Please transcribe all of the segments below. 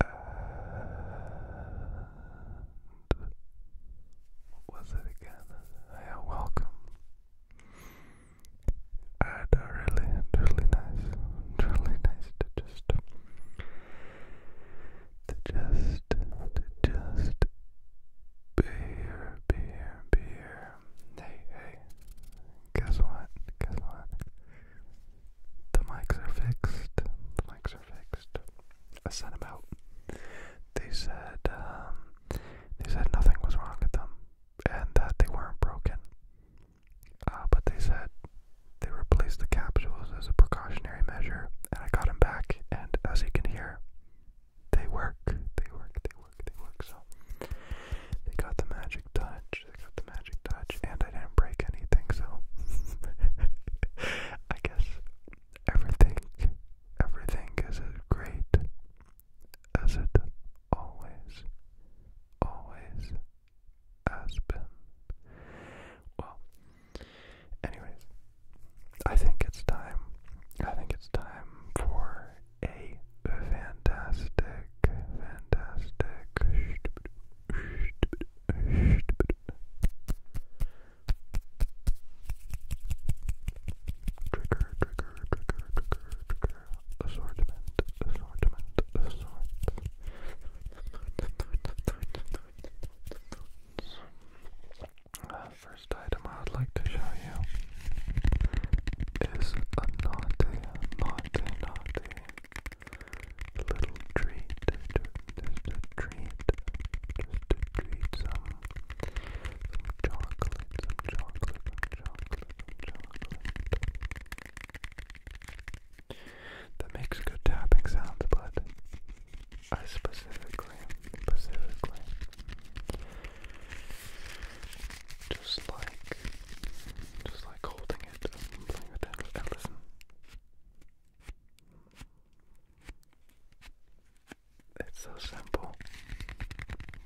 And what was it again? Yeah, welcome. I uh, really, really nice, really nice to just, to just, to just be here, be here, be here. Hey, hey, guess what? Guess what? The mics are fixed. The mics are fixed. I sent them out. They said um, they said nothing was wrong with them and that they weren't broken. Uh, but they said they replaced the capsules as a precautionary measure, and I got them back. And as you can hear, they work. They work. They work. They work. So they got the magic touch. I got the magic touch, and I didn't break anything, so I guess everything, everything is as great as it always, always has been. Well, anyways, I think it's time. I think it's time for a fantastic, fantastic. Trigger, trigger, trigger, trigger, trigger. Assortment, assortment, assortment. Uh, first item I would like to show you is a naughty, naughty, naughty, little treat, just a, treat, just a treat, some, chocolate, some chocolate, chocolate, chocolate. That makes good tapping sounds, but I specifically, specifically just like, just like holding it and um, playing with it. listen, it's so simple,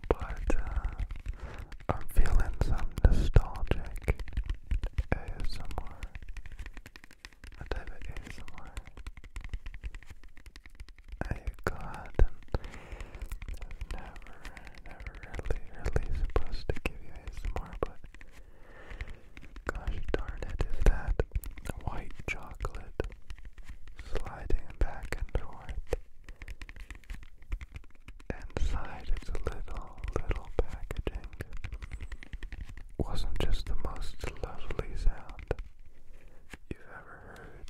but uh, I'm feeling some nostalgic ASMR. I type it ASMR. I got um, never i never really, really supposed to give you ASMR, but gosh darn it, is that white chocolate sliding back and forth. Inside its little, little packaging wasn't just the most lovely sound you ever heard.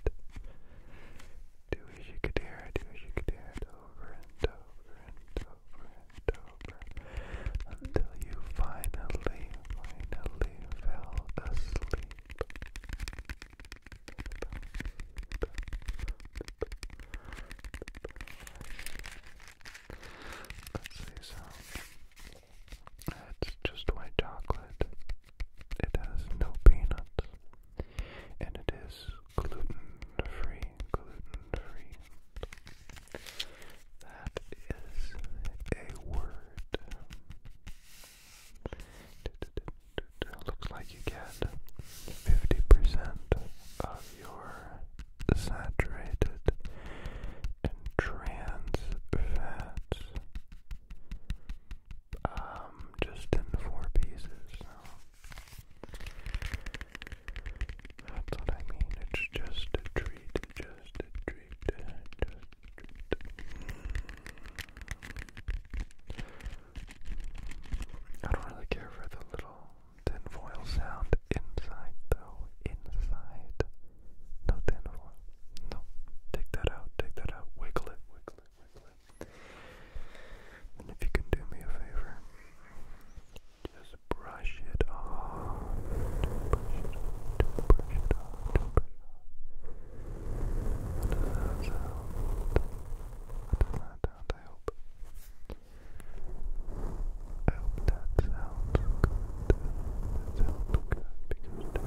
Do wish you could hear do wish you could hear over and over and over and over until you finally, finally fell asleep. Let's see some. It's just white chocolate. It has no peanuts and it is gluten-free, gluten-free. That is a word. Looks like you get 50% of your saturated and trans fats um, just in four pieces. That's what I mean. It's just a treat, just a treat, just a treat. I don't really care for the little tinfoil sound inside, though. Inside. No tinfoil. No. Take that out. Take that out. Wiggle it. Wiggle it. Wiggle and if you can do me a favor, just brush it off. Brush it off. Brush Brush it off. Does that sound? I hope. that sounds good. That sounds good because to me,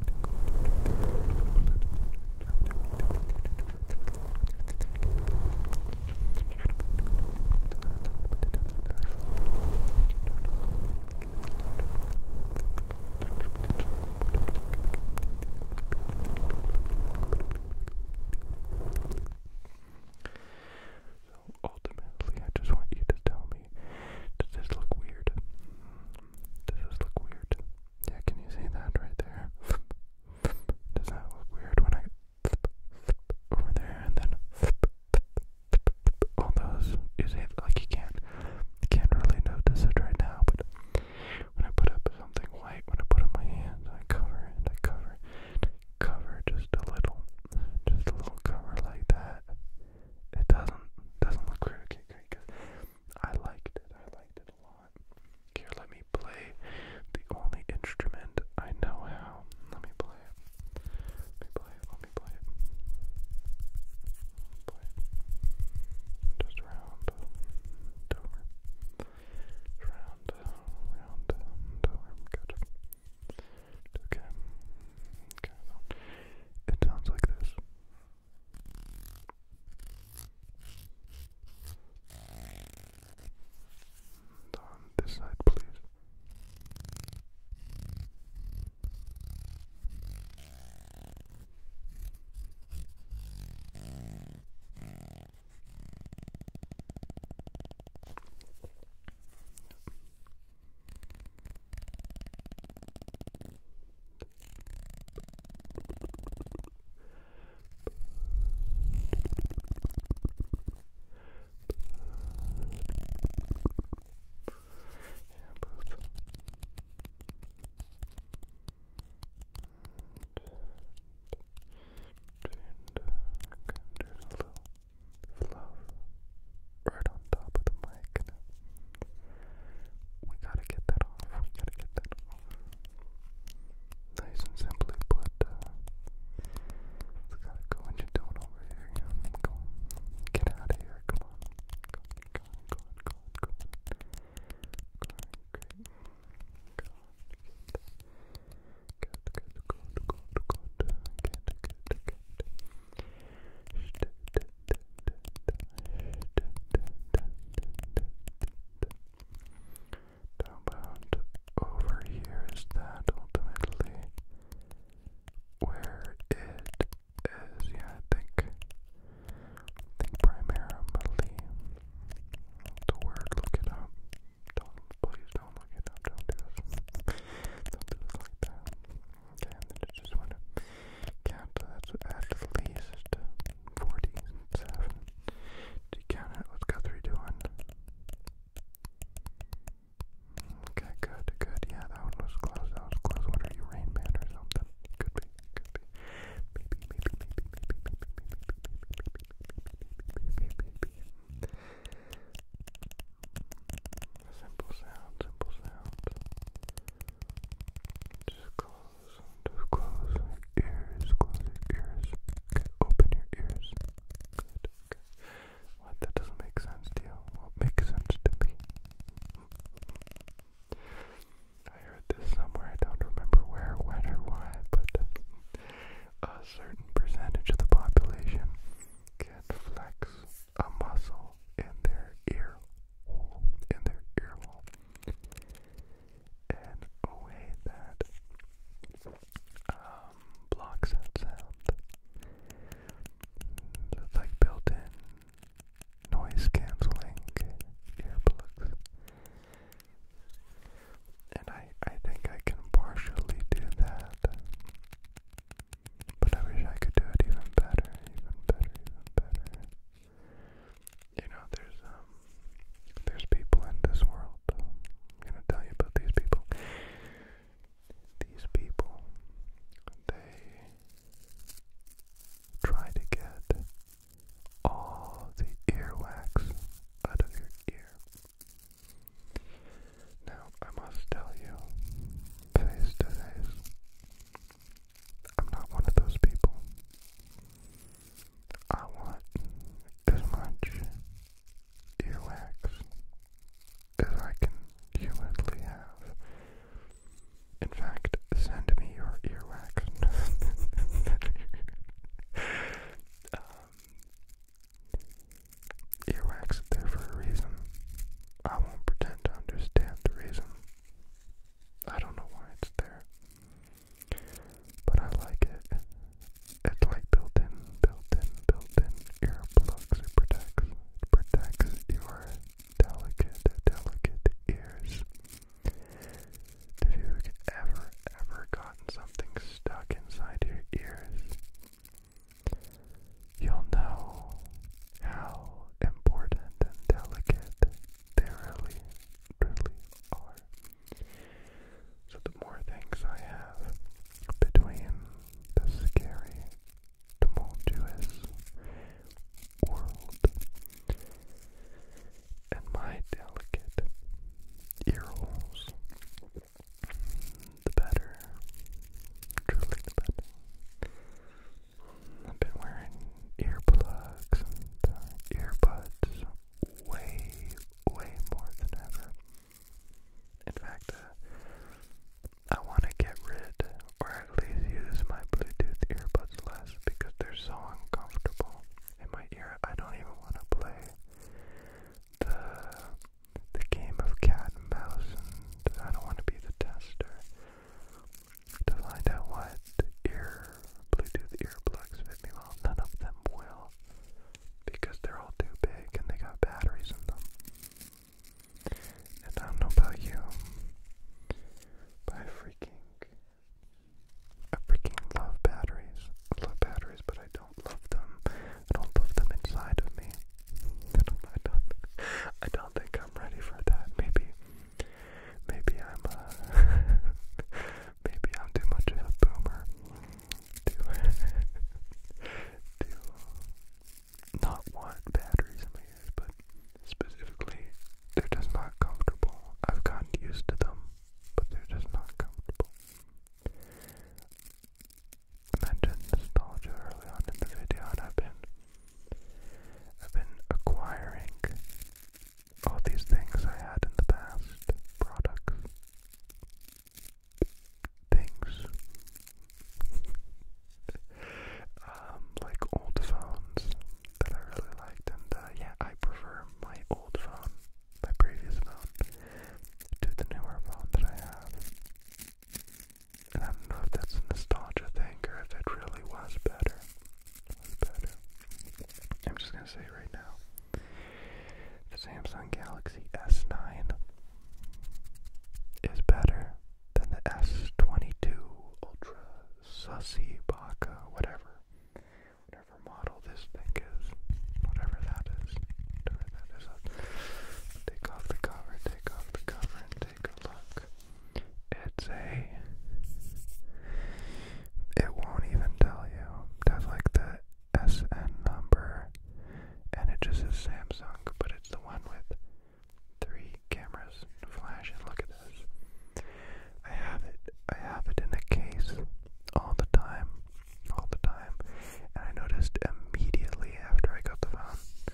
So ultimately, I just want you to tell me, does this look weird? Does this look weird? Yeah, can you see that right there? Does that look weird when I over there and then all those? You see, like you can't, you can't really notice it right now, but when I put up something white, when I put up my hands, I cover I cover, cover just a little, just a little cover like that. It doesn't doesn't look really great I liked it. I liked it a lot. Here, let me play the only instrument I know how. Let me play it. Let me play it. Let me play it. play it. Just round and over. Round, round Good. Okay. Okay. it sounds like this. And on this side, please. I can do a little right on top of the mic we gotta get that off. We gotta get that off. Nice and simply put, it's gotta go and you over here. Yeah, on. Get out of here. Come on. Go on, go on, go on, go on, go on. Go on, great. Go on. Good, good, good, good, good, good, good, good. Steady, how about over here? Is that ultimately where it is? Yeah, I think. think primarily the word. Look it up. Don't please don't look it up. Don't do this. like that. Okay, and then I just want count that's at least 47. Do you count it? What's Guthrie doing? Okay, good, good. Yeah, that one was close. That was close. What are you, Rain Man or something? Could be, could be. Maybe, maybe, maybe, maybe, maybe, maybe, maybe, maybe, maybe. Simple sound, simple sound. Just close, close your ears, close your ears. open your ears. What? That doesn't make sense to you? Well, makes sense to me. I heard this somewhere, I don't remember where, when, or why, but a certain percentage of the population can flex a muscle in their ear in their ear And a way that um, blocks that sound. It's like built in noise canceling earplugs. And I, I think I can partially do that. But I wish I could do it even better, even better, even better. You know, there's um, there's people in this world. I'm gonna tell you about these people. These people, they try to get all the earwax out of your ear. Now, I must tell you, face to face, I'm not one of those people. I want as much earwax as I can humanly have. In fact, send me your earwax. Um, earwax there for a reason. I won't pretend to understand the reason. I don't know why it's there. But I like it. It's like built-in, built-in, built-in earplugs. It protects, protects your delicate, delicate ears. If you've ever, ever gotten something stuck inside your ears, you'll know how important and delicate they really, really are. So the more things I have between the scary, tumultuous world and my delicate ear holes, the better, truly the better. I've been wearing earplugs and earbuds way, way more than ever. In fact, uh, I want to get rid or at least use my Bluetooth earbuds less because they're so uncomfortable in my ear. I don't even want to play the the game of cat and mouse, and I don't want to be the tester to find out what ear Bluetooth earplugs fit me well. None of them will because they're all too big and they got batteries in them. And I don't know about you, but freaking, I freaking love batteries. love batteries, but I don't love them. I don't love them inside of me. I don't, I do I don't think I'm ready for that. Maybe Maybe I'm uh, maybe I'm too much of a boomer to to not want batteries in my ears, but specifically they're just not comfortable. I've gotten used to them, but they're just not comfortable. mentioned nostalgia early on in the video, and I've been I've been acquiring all these things I had in the past, products, things, um, like old phones that I really liked, and uh, yeah, I prefer my old phone, my previous phone, to the newer phone that I have. I don't know if that's a nostalgia thing or if it really was better. I'm just gonna say right now, the Samsung Galaxy S9 is better than the S22 Ultra Sussy Baka, whatever, whatever model this thing is, whatever that is, whatever that take off the cover, take off the cover, and take a look. It's a. It won't even tell you. That's like the SN number, and it just says Samsung, but it's the one with three cameras and Look at this. I have it. I have it in a case all the time, all the time, and I noticed immediately after I got the phone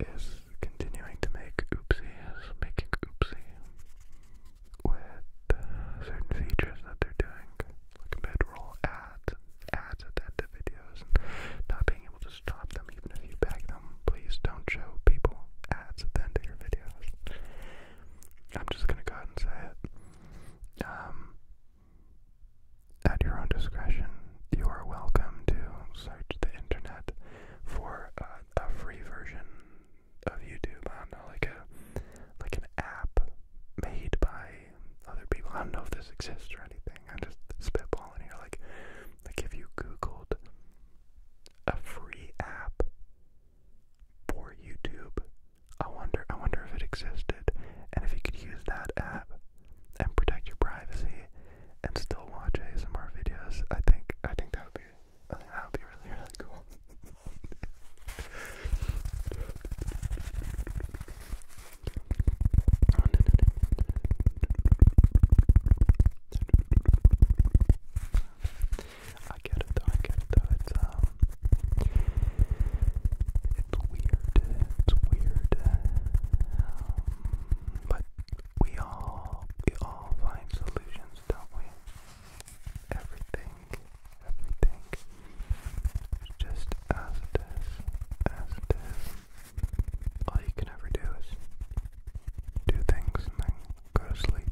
is continuing to make oopsies, making oopsie with certain features that they're doing, like mid-roll ads, ads at the end of videos, not being able to stop them even if you beg them. Please don't show people ads at the end of your videos. I'm just gonna go ahead and say it. Um, at your own discretion, you are welcome to search the internet for uh, a, free version of YouTube. I don't know, like a like an app made by other people. I don't know if this exists or anything. I'm just spitballing here. Like, like if you Googled a free app for YouTube, I wonder, I wonder if it existed, and if you could use that app and protect your privacy and still watch ASMR videos. I think I think that would be I think that would be really really cool it's weird, it's weird. Um, but we all, we all find solutions, don't we? Everything, everything. just as it is, as it is. All you can ever do is do things and then go sleep.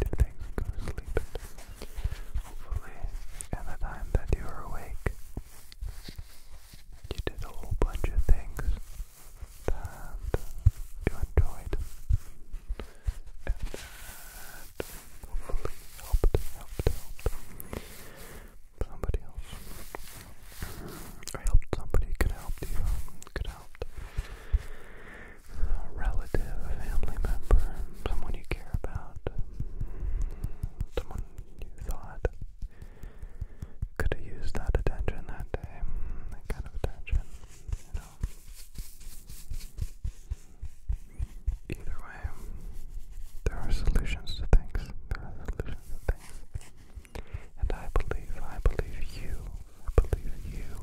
Do things go sleep. Hopefully, in the time that you are awake, you did a whole bunch of things that you enjoyed and hopefully helped, helped, helped somebody else helped somebody, could help you, could help a relative, a family member, someone you care about, someone you thought could have used that attention that day, mm, that kind of attention, you know. Either way, there are solutions to things. There are solutions to things. And I believe, I believe you, I believe you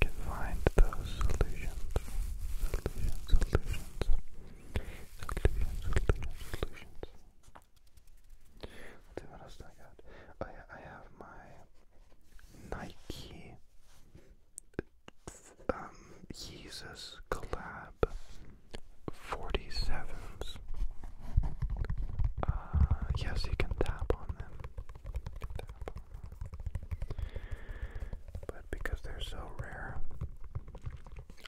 can find those solutions. Solutions, solutions. Solutions, solutions, solutions. Let's see what else do I I have my Nike um collab 47s. yes, you can tap on them. Tap on them. But because they're so rare,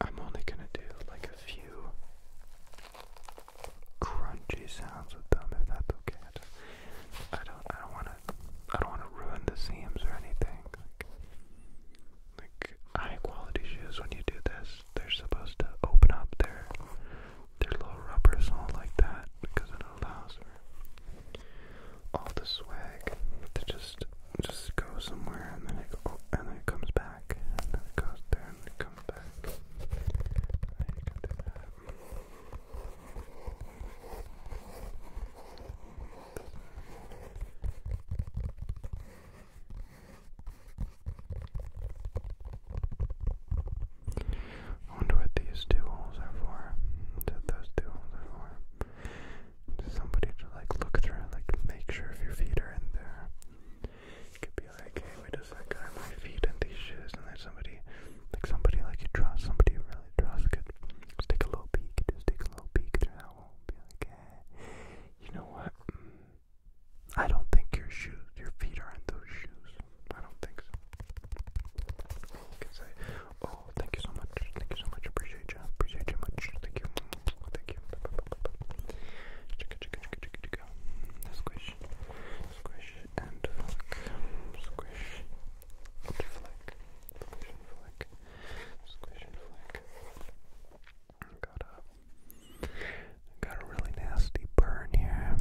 I'm only gonna do like a few crunchy sounds with them if that's okay. I don't I don't wanna I don't wanna ruin the seams or anything. Like, high quality shoes when you do this, they're supposed to open up their their little rubbers all like that because it allows all the swag to just just go somewhere and then it and then it comes back and then it goes there and it comes back. I wonder what these two holes are for. That those two holes are for somebody to like look through and like make sure if your feet are in there. You could be like, hey, wait a second, are my feet in these shoes? And then somebody, like somebody like you trust, somebody you really trust could just take a little peek, just take a little peek through that wall and be like, eh, you know what? Mm, I don't think your shoes, your feet are in those shoes. I don't think so. You can say, oh, thank you so much, thank you so much, appreciate appreciate Appreciate you much. Thank you. Thank you. Chicka chicka chicka chicka chicka. Squish. Squish Squish. And flick. Squish and flick. Squish and flick. Got a got a really nasty burn here.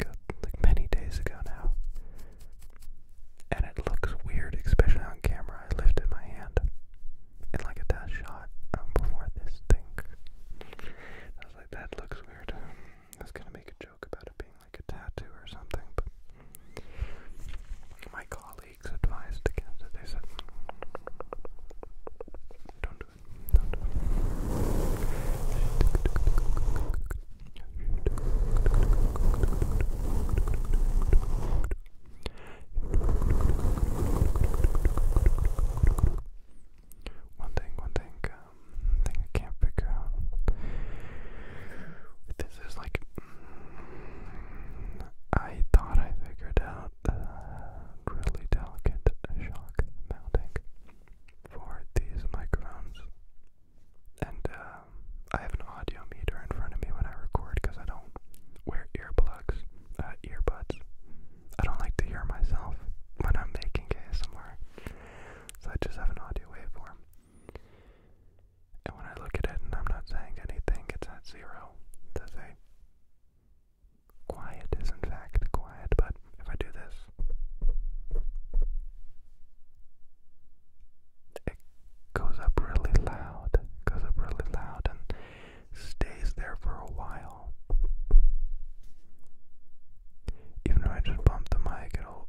like many days ago now. And it looks weird, especially on camera. I lifted my hand in like a test um, before this thing. I was like, that looks weird. I was gonna make a joke about it being like a tattoo or something, but my colleagues advised against it. They said, Don't do it. One thing, one thing, um, thing I can't figure out this is like, I thought I figured out a really delicate shock mounting for these microphones, and uh, I have no audio meter in front of me when I record because I don't wear earplugs, uh, earbuds. I don't like to hear myself when I'm making ASMR, so I just have an audio waveform. And when I look at it and I'm not saying anything, it's at zero. Does say quiet is in fact quiet, but if I do this, it goes up really loud, goes up really loud, and stays there for a while. Even though I just bumped the mic, it'll.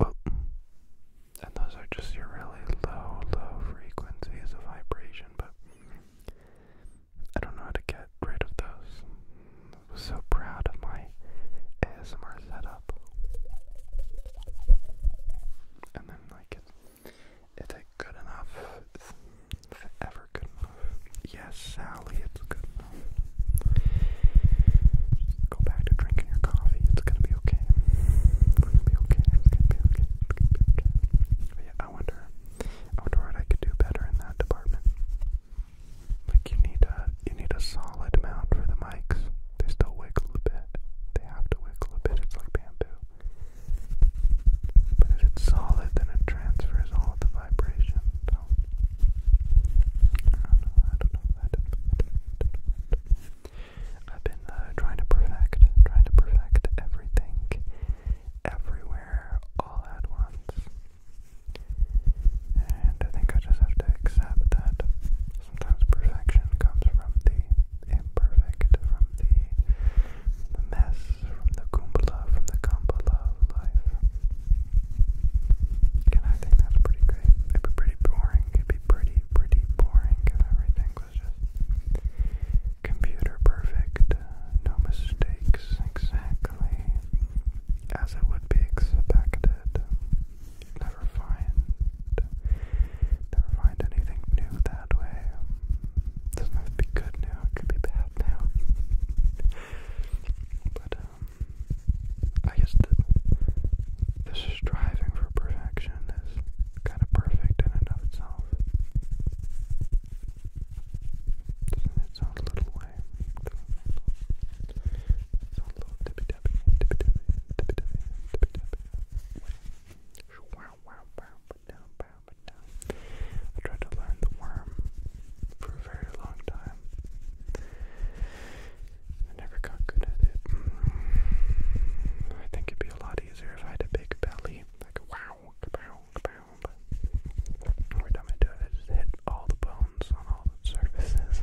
Oh, and those are just your really low, low frequencies of vibration, but I don't know how to get rid of those. I was so proud of my ASMR setup. And then, like, is it good enough? Is it ever good enough? Yes, Sally, it's good enough. go back to drinking your coffee. It's gonna be okay. It's gonna be okay. It's gonna be okay. okay. yeah, I wonder, I wonder what I could do better in that department. Like you need a, you need a solid mount for the mics. They still wiggle a bit. They have to wiggle a bit. It's like bamboo. But if it's solid, then it transfers all the vibrations. I don't know. I don't know. I I have been uh, trying to perfect, trying to perfect everything, everywhere, all at once. And I think I just have to accept that sometimes perfection comes from the imperfect, from the mess, from the kumbala, from the kambala life. And I think that's pretty great. It'd be pretty boring. It'd be pretty, pretty boring if everything was just computer perfect, no mistakes, exactly as it would be expected. you never find never find anything new that way. It does be good now, it could be bad now. but, um, I guess the, the striving for perfection is kind of perfect in and of itself. It's in its own little way. It's own little tippy tappy, tippy tappy, tippy tappy, tippy tappy. Wow. I tried to learn the worm for a very long time. I never got good at it. I think it'd be a lot easier if I had a big belly. Like wow, kapow, kapow. But every time it, just hit all the bones on all the surfaces.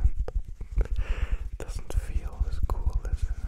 doesn't feel as cool as it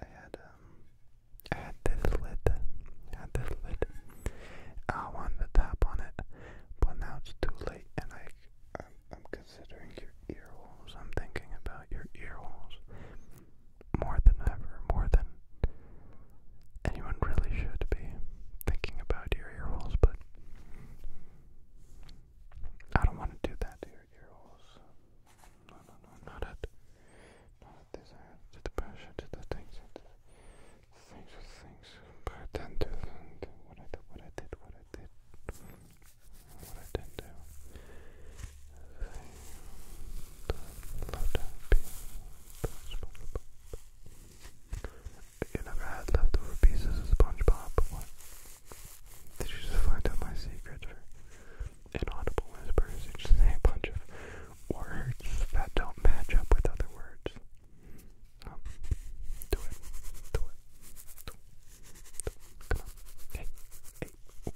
I had um I had this lid. I had this lid. I wanted to tap on it, but now it's too late and I I'm, I'm considering your ear holes. I'm thinking about your ear holes more than ever, more than anyone really should be thinking about your ear holes, but I don't want to do that to your ear holes no, no, no, not at, not this end, uh, to the pressure, to the things, to the things, to things, pretend to and what I did, what I did, what I did, what I didn't do. You never had leftover pieces of SpongeBob, Did you just find out my secret? inaudible whispers, you just a bunch of words that don't match up with other words. Um, do it. Do it. Do it. Do it. Come on. Hey. Hey. Ooh.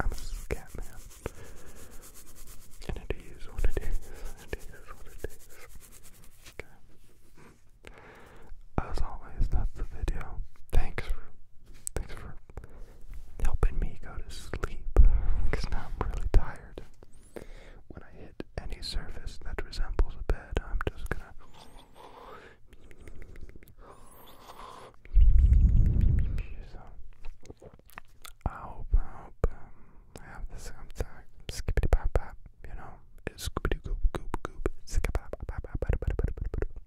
I'm a scat man. And it is what it is. It is what it is. As always, that's the video. Thanks for thanks for helping me go to sleep because now I'm really tired. When I hit any surface that resembles a bed, I'm just gonna. So, I hope, I um, have this. I'm, I'm skippity bop bop you know,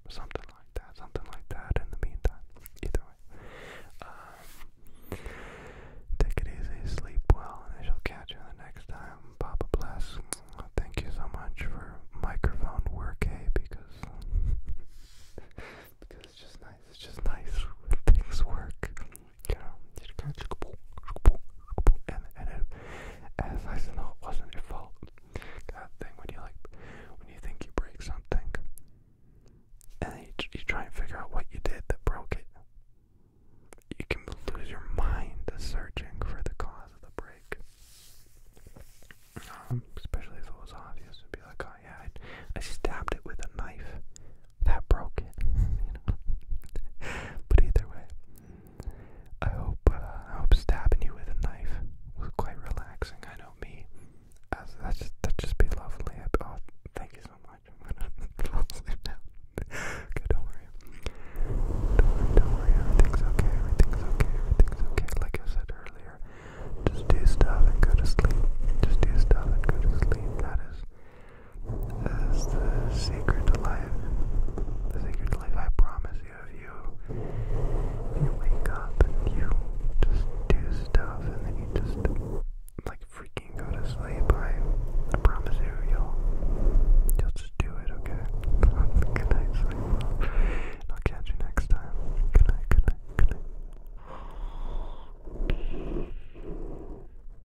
something like that, something like that. In the meantime, either way, um, take it easy, sleep well, and I shall catch you next time. Papa bless. Thank you so much for microphone work, hey, eh? because because it's just nice. It's just nice when things work. Did it kind of and and it, as I said, no, it wasn't your fault. That thing when you like, when you think you break something, and then you, you try and figure out what you did that broke it. You can lose your mind searching for the cause of the break. Um, especially if it was obvious, it'd be like, oh yeah, I stabbed it with a knife that broke it. You know? but either way, I hope uh, I hope stabbing you with a knife was quite relaxing. I know me. that just that just be lovely. oh, thank you so much. i to fall now. don't worry. Don't worry. Don't worry. Everything's okay. Everything's okay. Everything's okay. Like I said earlier, just do stuff and go to sleep. Just do stuff and go to sleep. That is as the secret to life. The secret life, I promise you, if you, you wake up you just do stuff and then you just like freaking go to sleep, I, I promise you, you'll, you'll just do it, okay? good night, sleep I'll catch you next time. Good night, good night, good night.